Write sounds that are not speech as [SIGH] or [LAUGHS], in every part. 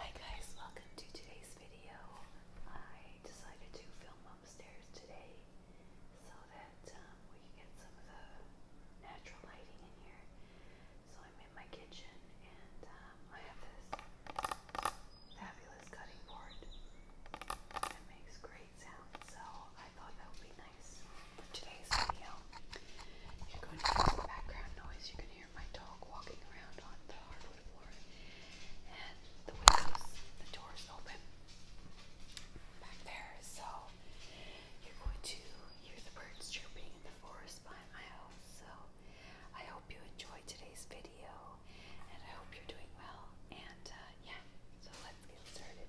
Hi guys, welcome to today's video. I decided to film upstairs today so that um, we can get some of the natural lighting in here. So I'm in my kitchen and um, I have this fabulous cutting board that makes great sound. So I thought that would be nice for today's video. You're going to hear some background noise hear my dog walking around on the hardwood floor, and the windows, the doors open back there. So you're going to hear the birds chirping in the forest behind my house. So I hope you enjoyed today's video, and I hope you're doing well. And uh, yeah, so let's get started.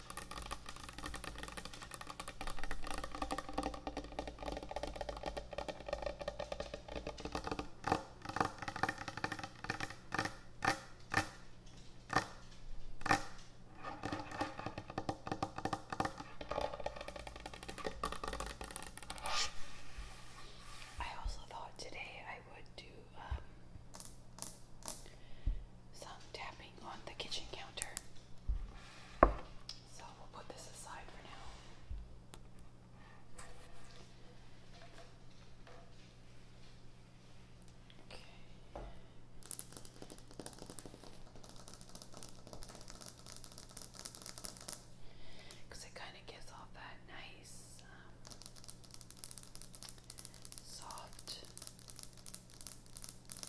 I also thought today I would do um some tapping on the kitchen counter. So we'll put this aside for now. Okay. Because it kind of gives off that nice, um, soft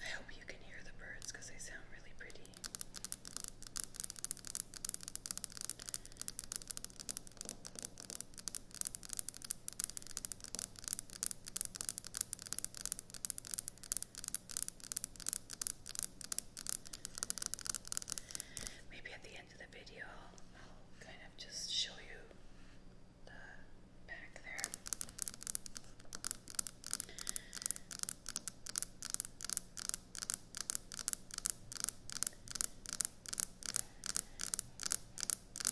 I hope you can hear the birds they sound really pretty. Maybe at the end of the video, I'll kind of just show you the back there.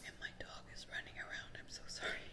And my dog is running around. I'm so sorry.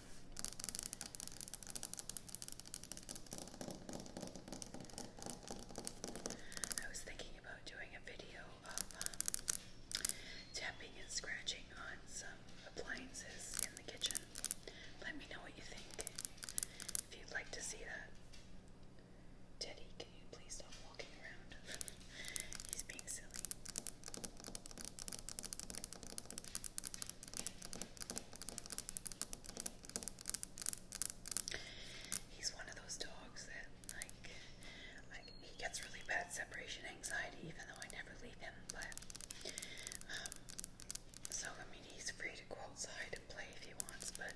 I was thinking about doing a video of um, tapping and scratching on some appliances in the kitchen. Let me know what you think if you'd like to see that. Teddy, can you please stop walking around? [LAUGHS] He's being silly. He's one of those dogs that, like, like he gets really bad separation anxiety, even though I never leave him. But, um, so I mean, he's free to go outside and play if he wants, but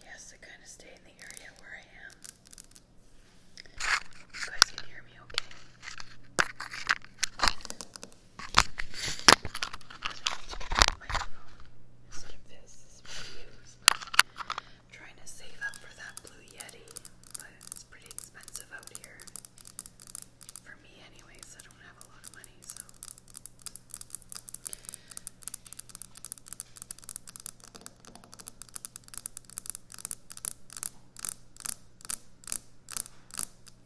he has to kind of stay in the area where I am. You guys can hear me, okay? So this is pretty used. I'm trying to save up for that Blue Yeti, but it's pretty expensive out here. For me, anyways, I don't have a lot of money, so. Okay,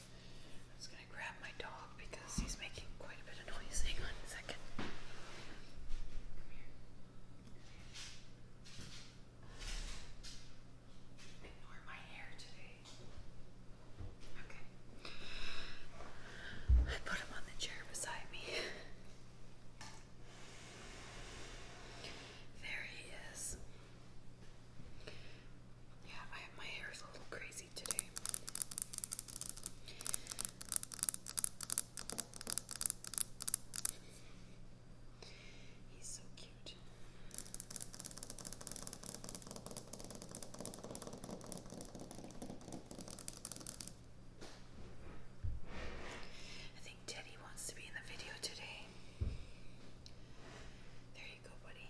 I'm just gonna grab my dog because he's making quite a bit of noise. Hang on a second. Ignore my hair today. Okay. I put him on the chair beside me. [LAUGHS] There he is. Yeah, I have my hair is a little crazy today. He's so cute. I think Teddy wants to be in the video today. There you go, buddy.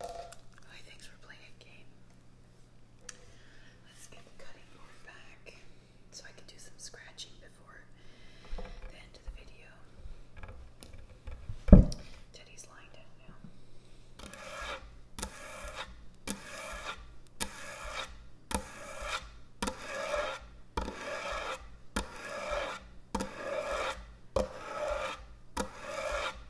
I think we're playing a game. Let's get the cutting board back so I can do some scratching before the end of the video. Teddy's lying down now.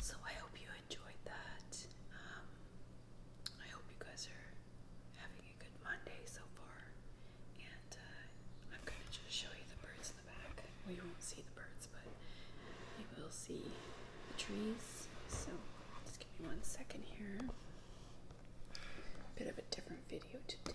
So I hope you enjoyed that. Um, I hope you guys are having a good Monday so far, and uh, I'm going to just show you the birds in the back. We won't see the birds, but you will see the trees. So just give me one second here. A Bit of a different video today.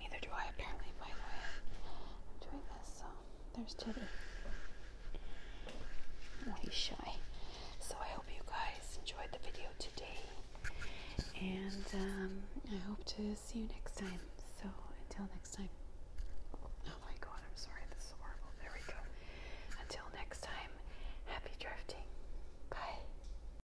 Neither do I, apparently, by the way. I'm doing this, so there's Tibby. he's shy. So I hope you guys enjoyed the video today. And um, I hope to see you next time. So until next time. Oh my god, I'm sorry. This is horrible. There we go. Until next time, happy drifting. Bye.